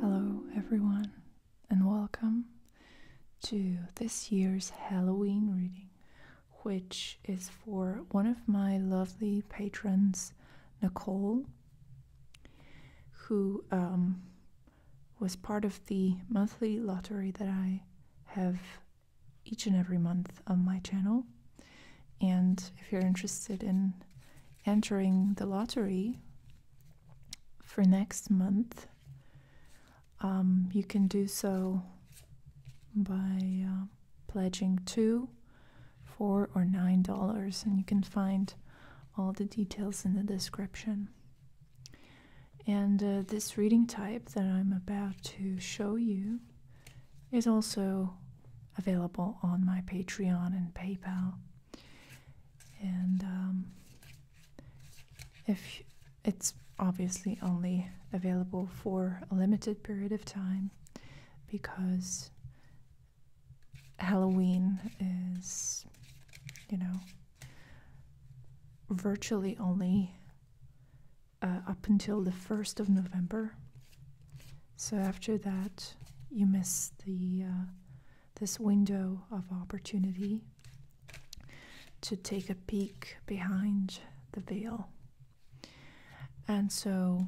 Hello, everyone, and welcome to this year's Halloween reading, which is for one of my lovely patrons, Nicole, who um, was part of the monthly lottery that I have each and every month on my channel. And if you're interested in entering the lottery for next month, um, you can do so by uh, pledging two, four, or nine dollars, and you can find all the details in the description. And uh, this reading type that I'm about to show you is also available on my Patreon and PayPal. And um, if it's obviously only available for a limited period of time because Halloween is, you know, virtually only uh, up until the 1st of November. So after that, you miss the uh, this window of opportunity to take a peek behind the veil. And so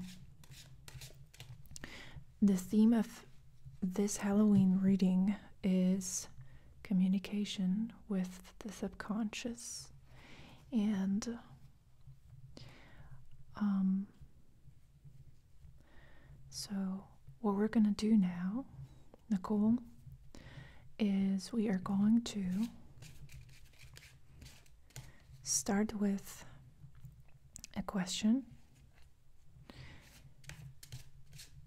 the theme of this Halloween reading is communication with the subconscious and um, so what we're going to do now nicole is we are going to start with a question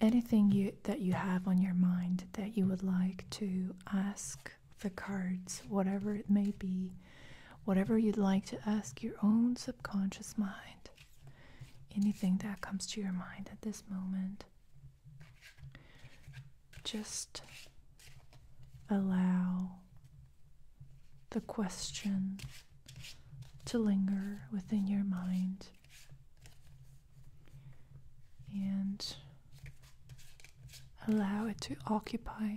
anything you that you have on your mind that you would like to ask the cards whatever it may be whatever you'd like to ask your own subconscious mind anything that comes to your mind at this moment just allow the question to linger within your mind and allow it to occupy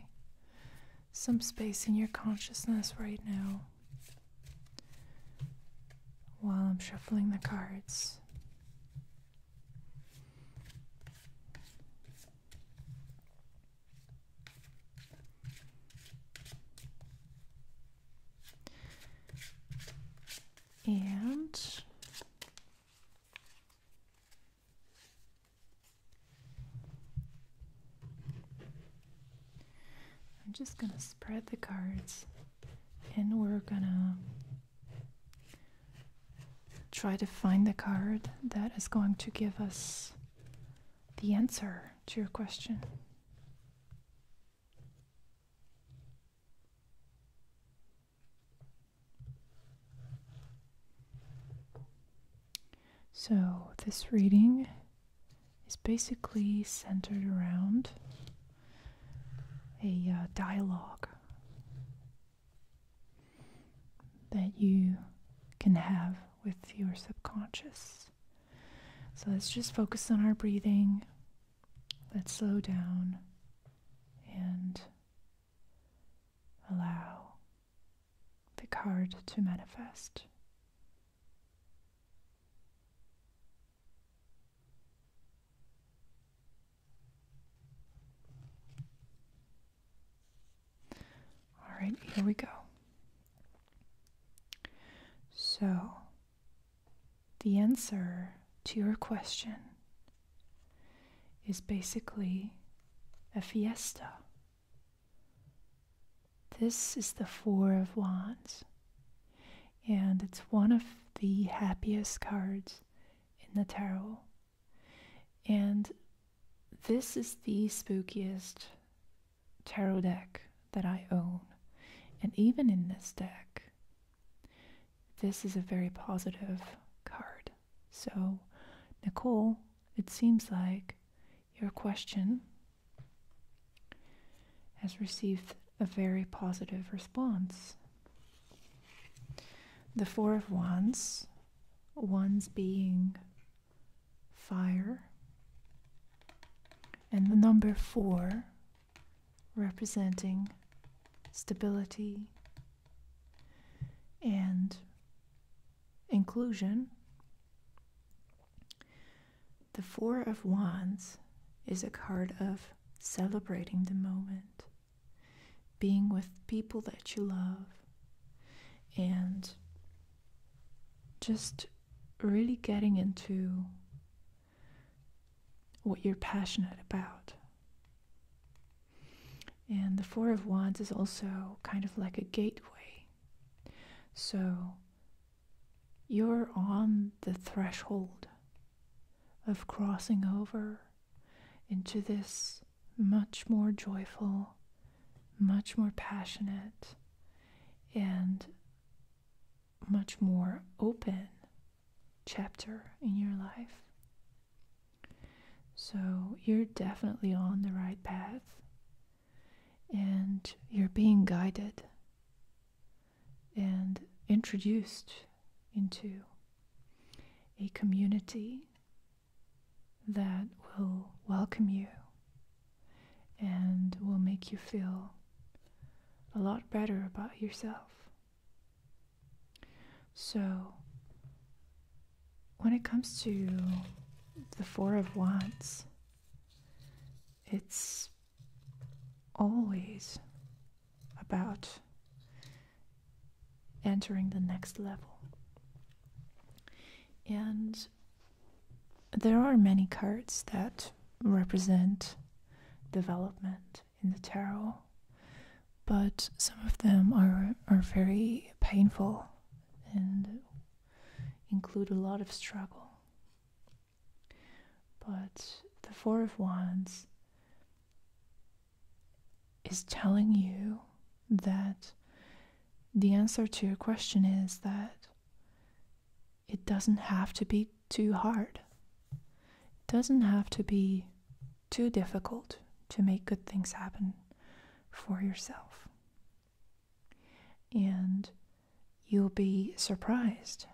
some space in your consciousness right now while I'm shuffling the cards and I'm just going to spread the cards and we're going to try to find the card that is going to give us the answer to your question. So, this reading is basically centered around a uh, dialogue that you can have with your subconscious. So, let's just focus on our breathing Let's slow down and allow the card to manifest. All right, here we go. So, the answer to your question is basically a fiesta. This is the Four of Wands, and it's one of the happiest cards in the tarot. And this is the spookiest tarot deck that I own. And even in this deck, this is a very positive card. So, Nicole, it seems like your question has received a very positive response. The Four of Wands, wands being fire, and the number four representing stability and inclusion. The Four of Wands is a card of celebrating the moment, being with people that you love, and just really getting into what you're passionate about. And the Four of Wands is also kind of like a gateway. So you're on the threshold of crossing over into this much more joyful, much more passionate, and much more open chapter in your life. So you're definitely on the right path and you're being guided and introduced into a community that will welcome you and will make you feel a lot better about yourself. So, when it comes to the Four of Wands, it's always about entering the next level. And there are many cards that represent development in the tarot, but some of them are, are very painful and include a lot of struggle. But the Four of Wands is telling you that the answer to your question is that it doesn't have to be too hard. It doesn't have to be too difficult to make good things happen for yourself. And you'll be surprised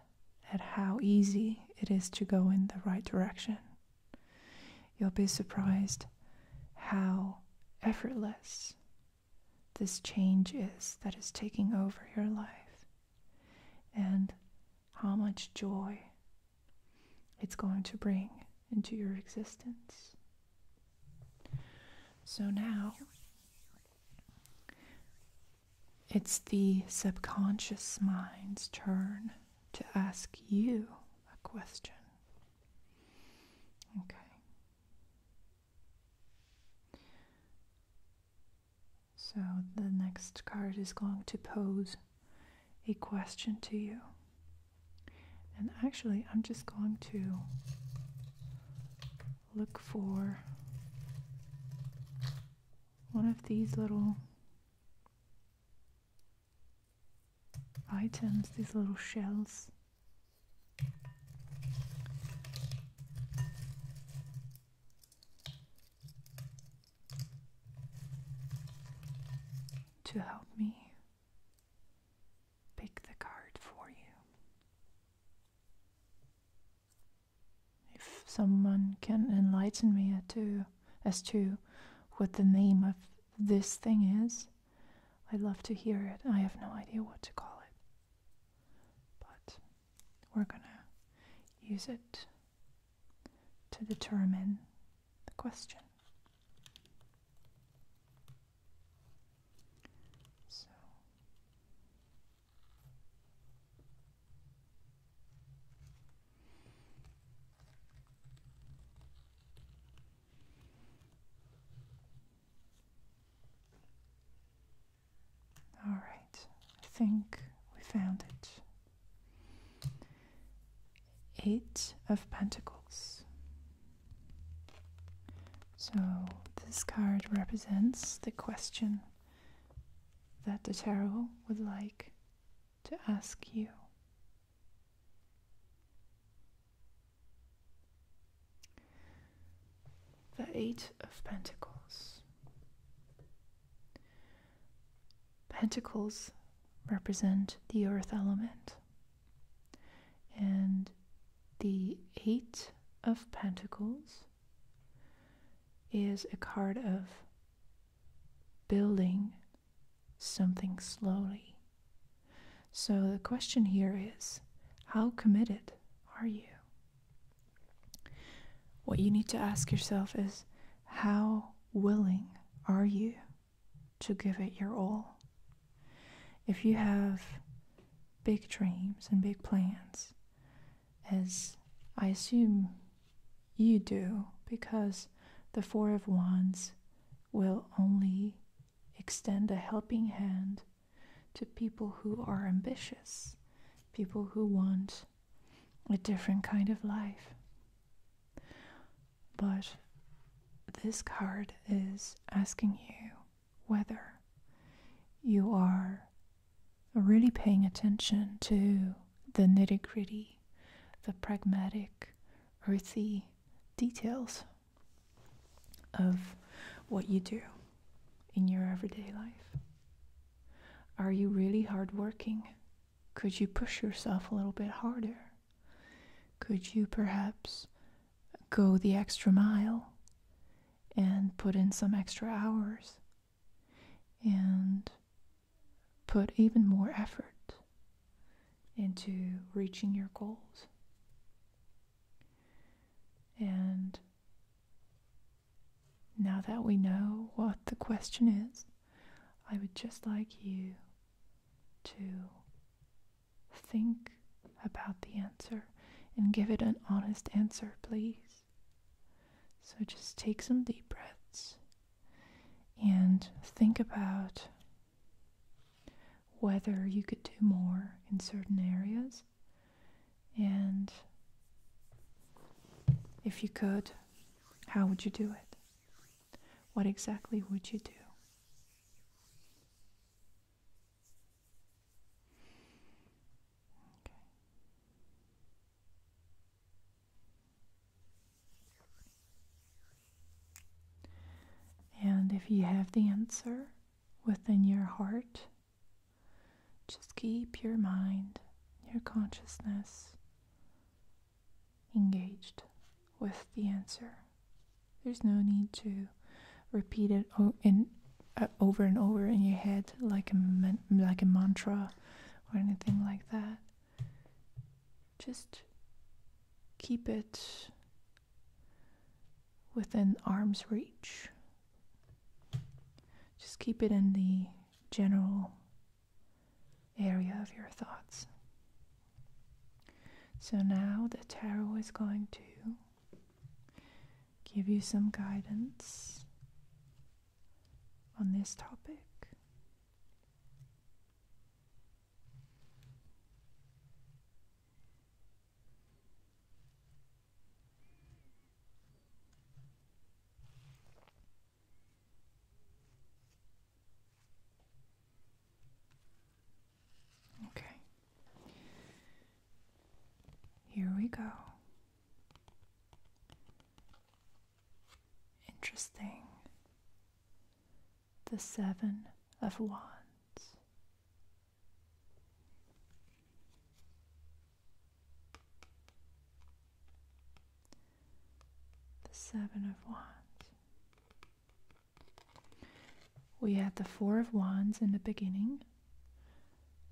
at how easy it is to go in the right direction. You'll be surprised how effortless this change is that is taking over your life and how much joy it's going to bring into your existence. So now it's the subconscious mind's turn to ask you a question. Okay. So the next card is going to pose a question to you. And actually, I'm just going to look for one of these little items, these little shells to help me pick the card for you. If someone can enlighten me as to what the name of this thing is, I'd love to hear it. I have no idea what to call it. But we're going to use it to determine the question. So all right, I think we found it. Eight of Pentacles. So this card represents the question that the tarot would like to ask you the Eight of Pentacles. Pentacles represent the earth element, and the Eight of Pentacles is a card of building something slowly. So the question here is how committed are you? What you need to ask yourself is how willing are you to give it your all? If you have big dreams and big plans, as I assume you do, because the Four of Wands will only extend a helping hand to people who are ambitious, people who want a different kind of life. But this card is asking you whether you are really paying attention to the nitty gritty, the pragmatic, earthy details of what you do in your everyday life. Are you really hardworking? Could you push yourself a little bit harder? Could you perhaps go the extra mile and put in some extra hours and put even more effort into reaching your goals? And now that we know what the question is, I would just like you to think about the answer and give it an honest answer, please. So just take some deep breaths and think about whether you could do more in certain areas and if you could, how would you do it? What exactly would you do? And if you have the answer within your heart, just keep your mind, your consciousness engaged with the answer. There's no need to repeat it uh, over and over in your head like a mantra or anything like that. Just keep it within arm's reach. Just keep it in the general area of your thoughts. So now the tarot is going to give you some guidance on this topic. Okay. Here we go. Interesting. The Seven of Wands. The Seven of Wands. We had the Four of Wands in the beginning,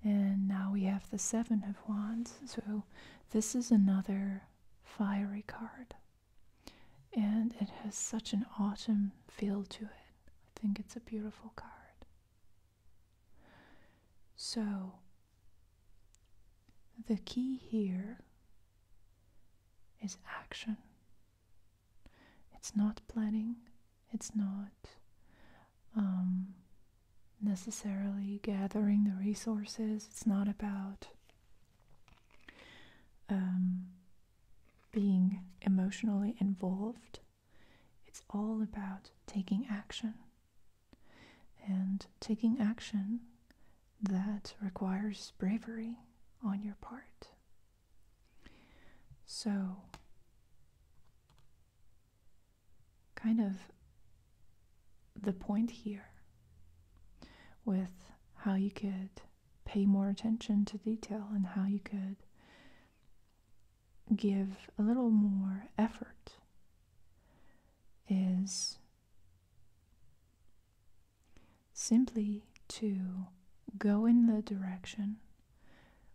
and now we have the Seven of Wands. So this is another fiery card, and it has such an autumn feel to it. I think it's a beautiful card. So, the key here is action. It's not planning, it's not um, necessarily gathering the resources, it's not about um, being emotionally involved. It's all about taking action. And taking action that requires bravery on your part. So, kind of the point here with how you could pay more attention to detail and how you could give a little more effort is simply to go in the direction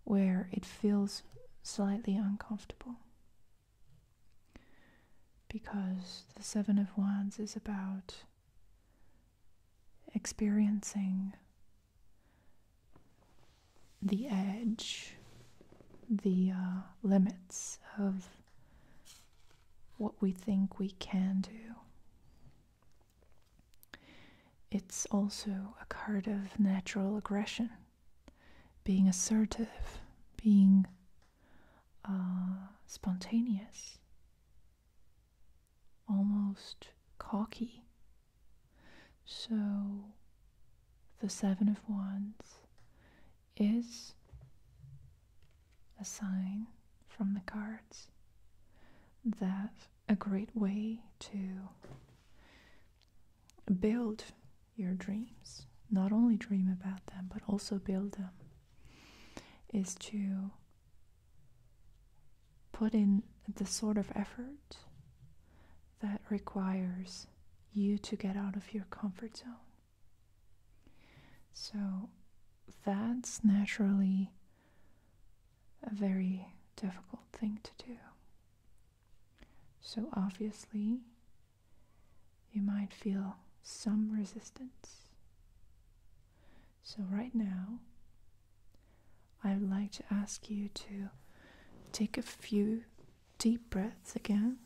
where it feels slightly uncomfortable. Because the Seven of Wands is about experiencing the edge, the uh, limits of what we think we can do. It's also a card of natural aggression, being assertive, being uh, spontaneous, almost cocky so the Seven of Wands is a sign from the cards that a great way to build your dreams, not only dream about them, but also build them, is to put in the sort of effort that requires you to get out of your comfort zone. So that's naturally a very difficult thing to do. So obviously, you might feel some resistance. So right now, I would like to ask you to take a few deep breaths again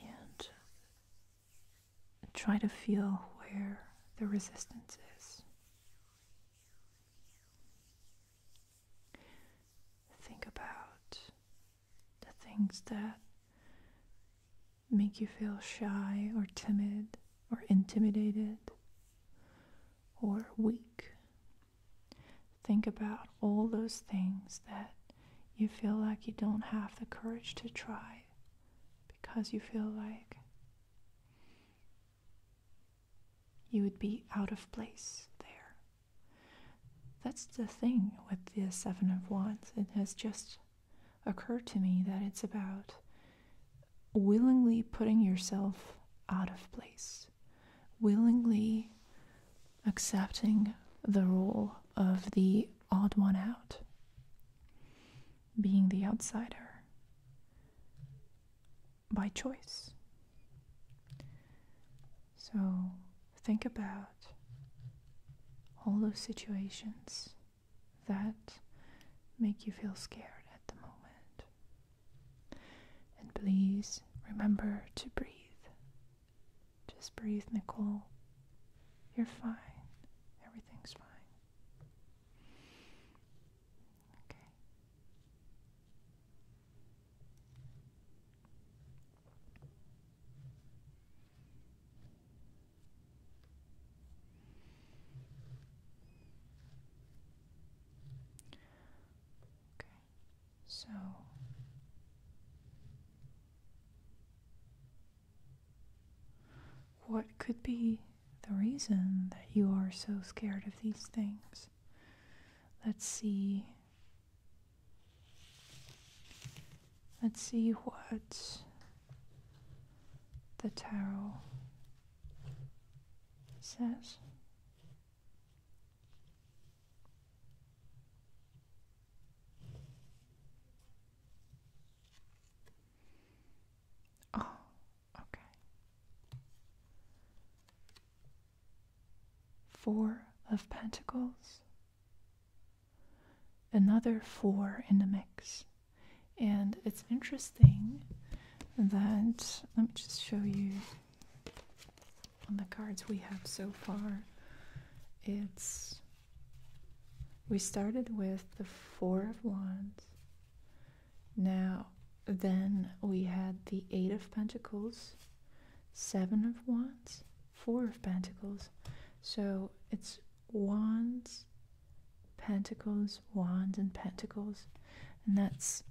and try to feel where the resistance is. Think about the things that make you feel shy or timid or intimidated or weak. Think about all those things that you feel like you don't have the courage to try because you feel like you would be out of place there. That's the thing with the Seven of Wands. It has just occurred to me that it's about willingly putting yourself out of place, willingly accepting the role of the odd one out, being the outsider by choice. So think about all those situations that make you feel scared at the moment. And please remember to breathe. Just breathe, Nicole. You're fine. Everything's fine. Okay. Okay, so what could be the reason that you are so scared of these things? Let's see. Let's see what the tarot says. Oh, okay. Four of Pentacles. Another four in the mix. And it's interesting thing that let me just show you on the cards we have so far. It's we started with the Four of Wands. Now, then we had the Eight of Pentacles, Seven of Wands, Four of Pentacles. So it's Wands, Pentacles, Wands, and Pentacles. And that's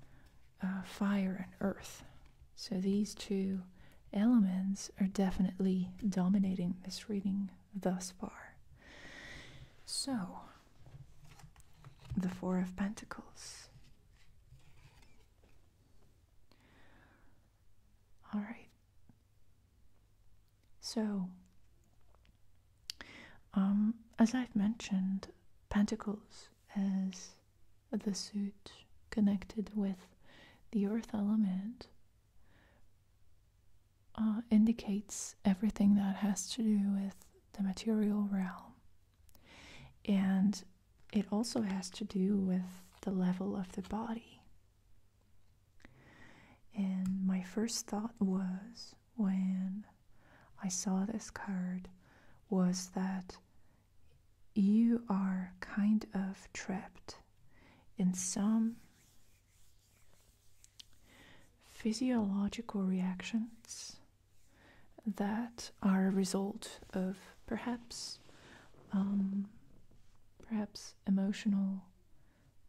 uh, fire and earth. So these two elements are definitely dominating this reading thus far. So, the Four of Pentacles. All right. So, um, as I've mentioned, Pentacles as the suit connected with the earth element uh, indicates everything that has to do with the material realm. And it also has to do with the level of the body. And my first thought was when I saw this card was that you are kind of trapped in some physiological reactions that are a result of perhaps um, perhaps emotional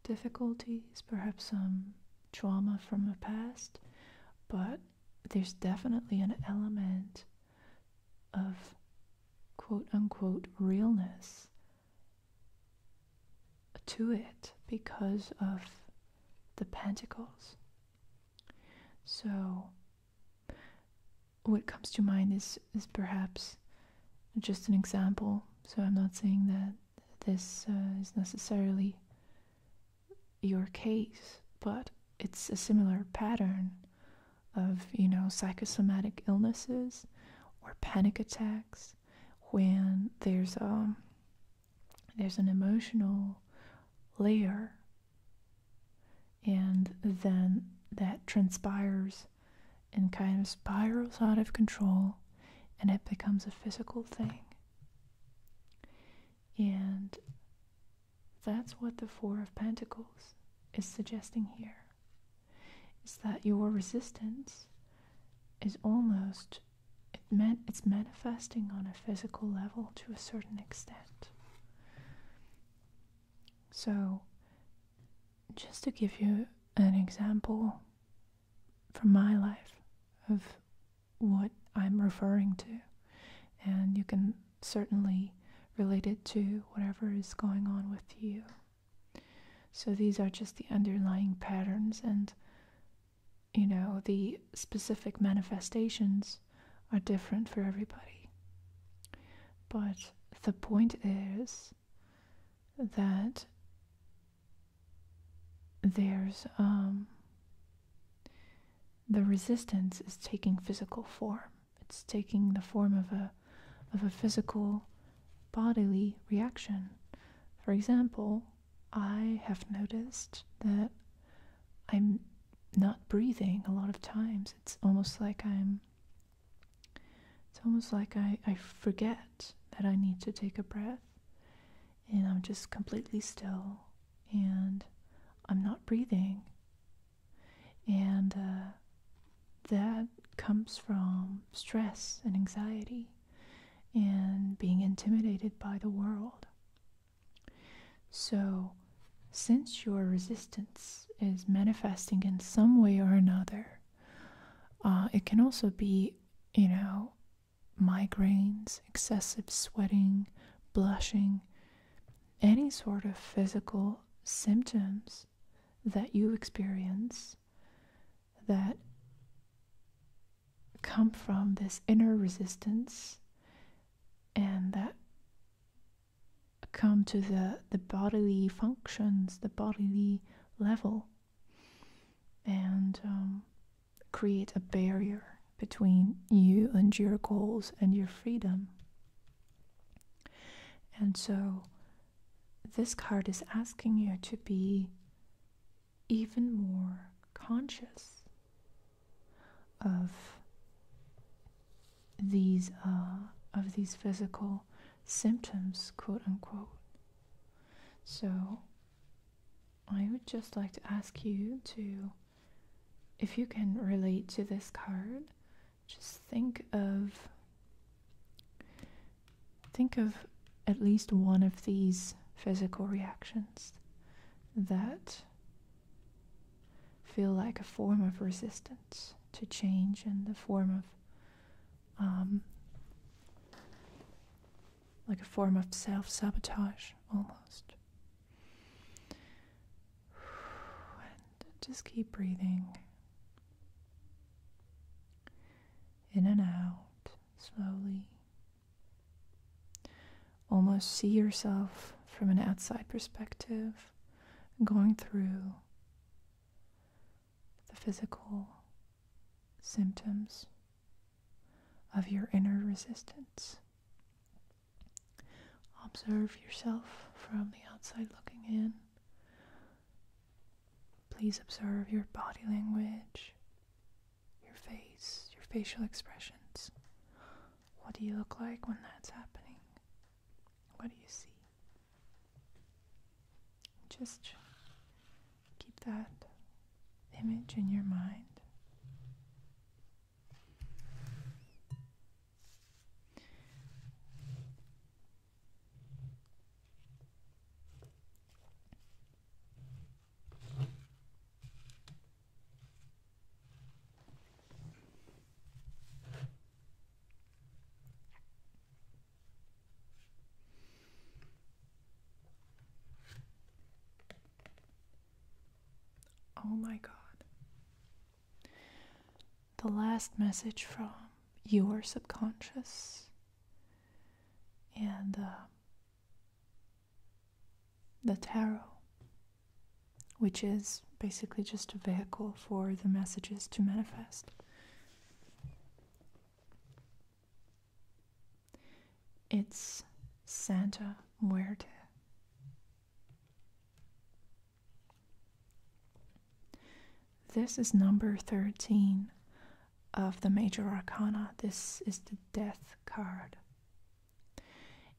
difficulties, perhaps some trauma from the past, but there's definitely an element of quote unquote realness to it because of the pentacles. So, what comes to mind is, is perhaps just an example. So, I'm not saying that this uh, is necessarily your case, but it's a similar pattern of, you know, psychosomatic illnesses or panic attacks when there's um there's an emotional layer and then that transpires and kind of spirals out of control and it becomes a physical thing. And that's what the Four of Pentacles is suggesting here. Is that your resistance is almost it's manifesting on a physical level to a certain extent. So just to give you an example from my life of what I'm referring to. And you can certainly relate it to whatever is going on with you. So these are just the underlying patterns, and you know, the specific manifestations are different for everybody. But the point is that there's um, the resistance is taking physical form. It's taking the form of a of a physical bodily reaction. For example, I have noticed that I'm not breathing a lot of times. It's almost like I'm it's almost like I, I forget that I need to take a breath and I'm just completely still and I'm not breathing. And uh, that comes from stress and anxiety and being intimidated by the world. So, since your resistance is manifesting in some way or another, uh, it can also be, you know, migraines, excessive sweating, blushing, any sort of physical symptoms that you experience that come from this inner resistance and that come to the, the bodily functions, the bodily level. And um, create a barrier between you and your goals and your freedom. And so this card is asking you to be even more conscious of these uh, of these physical symptoms, quote unquote. So I would just like to ask you to if you can relate to this card, just think of think of at least one of these physical reactions that feel like a form of resistance to change and the form of um, like a form of self sabotage almost. And just keep breathing in and out slowly. Almost see yourself from an outside perspective going through the physical symptoms of your inner resistance. Observe yourself from the outside looking in. Please observe your body language, your face, your facial expressions. What do you look like when that's happening? What do you see? Just keep that image in your mind. Oh my God. The last message from your subconscious. And uh, the tarot, which is basically just a vehicle for the messages to manifest. It's Santa Muerte. This is number 13 of the Major Arcana. This is the Death card.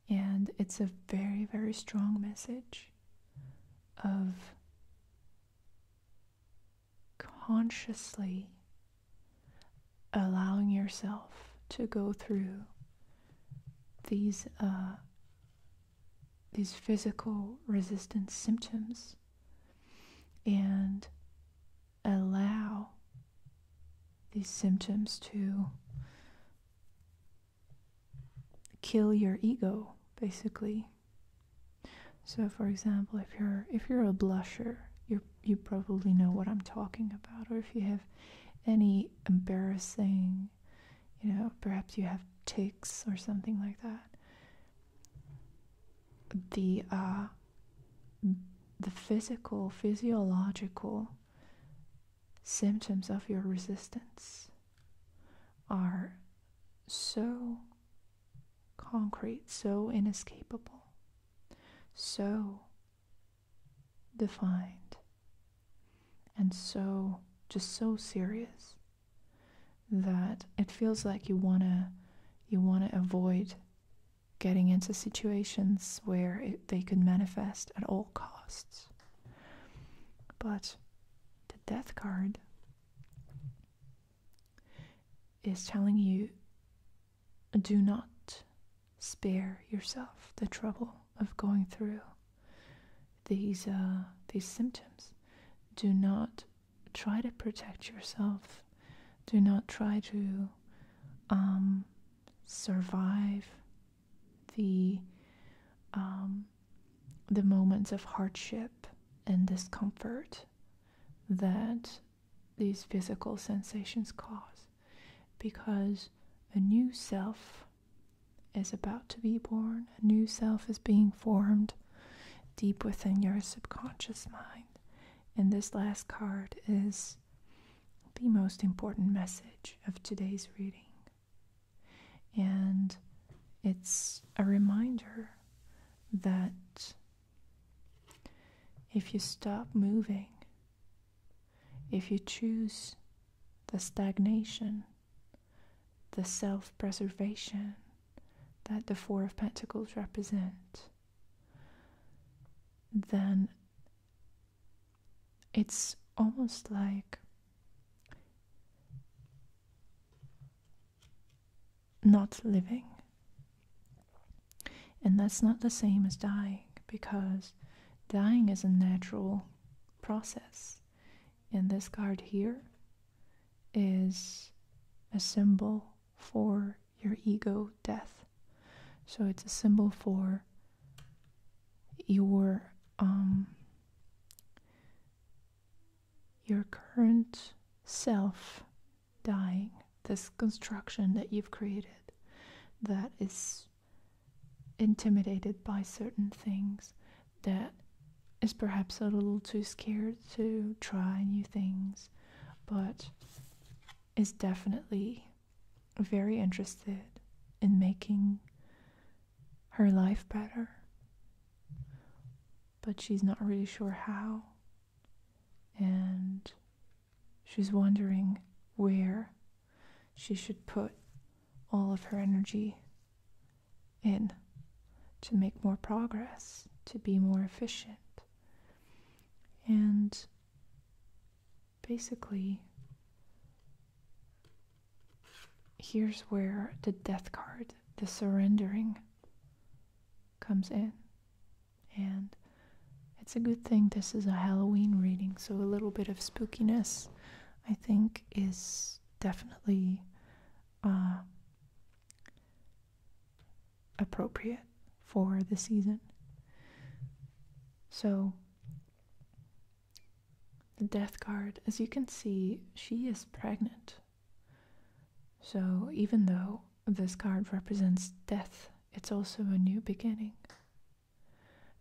And it's a very, very strong message of consciously allowing yourself to go through these uh, these physical resistance symptoms and allow these symptoms to kill your ego basically so for example if you're if you're a blusher you're you probably know what I'm talking about, or if you have any embarrassing, you know, perhaps you have tics or something like that. The uh, the physical, physiological symptoms of your resistance are so concrete, so inescapable, so defined and so just so serious that it feels like you want to you want to avoid getting into situations where they could manifest at all costs but the death card is telling you do not spare yourself the trouble of going through these uh, these symptoms. Do not try to protect yourself. Do not try to um, survive the um, the moments of hardship and discomfort that these physical sensations cause because a new self is about to be born, a new self is being formed deep within your subconscious mind. And this last card is the most important message of today's reading. And it's a reminder that if you stop moving if you choose the stagnation, the self preservation that the Four of Pentacles represent, then it's almost like not living and that's not the same as dying because dying is a natural process. And this card here is a symbol for your ego death. So it's a symbol for your um, your current self dying this construction that you've created that is intimidated by certain things, that is perhaps a little too scared to try new things, but is definitely very interested in making her life better. But she's not really sure how. And She's wondering where she should put all of her energy in to make more progress, to be more efficient. And basically, here's where the death card, the surrendering, comes in. And it's a good thing this is a Halloween reading, so a little bit of spookiness, I think, is definitely uh, appropriate for the season. So, the Death card, as you can see, she is pregnant. So, even though this card represents death, it's also a new beginning.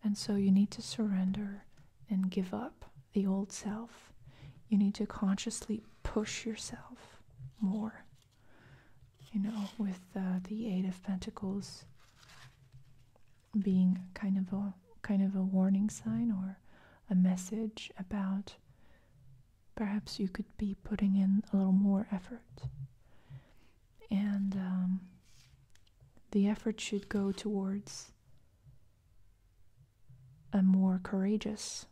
And so you need to surrender and give up the old self. You need to consciously push yourself more. You know, with uh, the Eight of Pentacles being kind of a kind of a warning sign or a message about perhaps you could be putting in a little more effort and um, the effort should go towards a more courageous,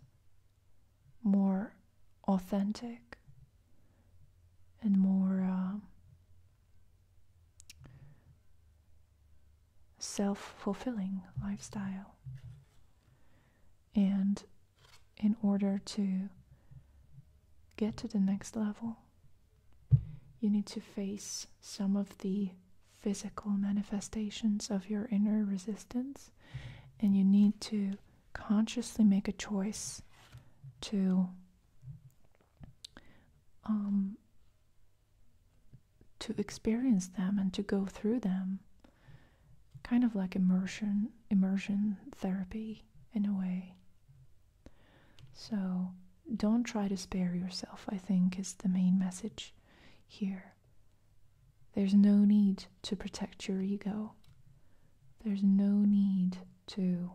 more authentic, and more um, self fulfilling lifestyle. And in order to get to the next level, you need to face some of the physical manifestations of your inner resistance, and you need to consciously make a choice to um, to experience them and to go through them, kind of like immersion immersion therapy in a way. So don't try to spare yourself, I think, is the main message here. There's no need to protect your ego. There's no need to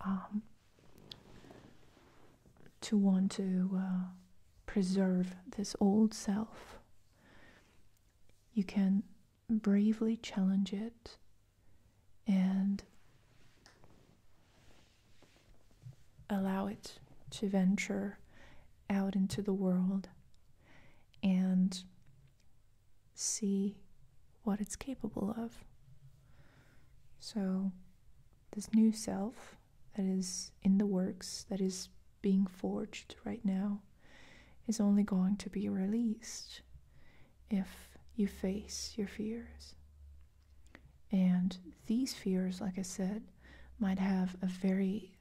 um, to want to uh, preserve this old self. You can bravely challenge it and allow it to venture out into the world and see what it's capable of. So, this new self that is in the works, that is being forged right now, is only going to be released if you face your fears. And these fears, like I said, might have a very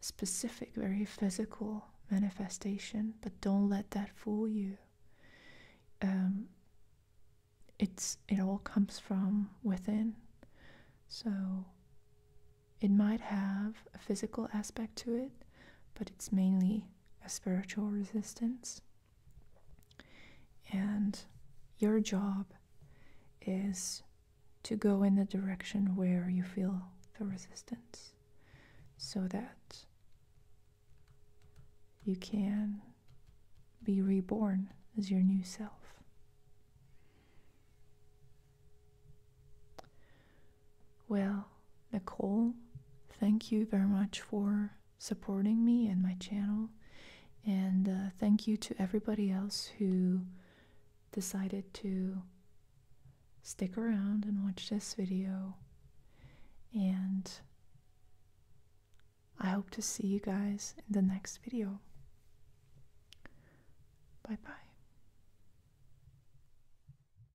specific, very physical manifestation, but don't let that fool you. Um, it's it all comes from within, so it might have a physical aspect to it, but it's mainly a spiritual resistance. And your job is to go in the direction where you feel the resistance so that you can be reborn as your new self. Well, Nicole, thank you very much for supporting me and my channel. And uh, thank you to everybody else who decided to stick around and watch this video. And I hope to see you guys in the next video. Bye bye.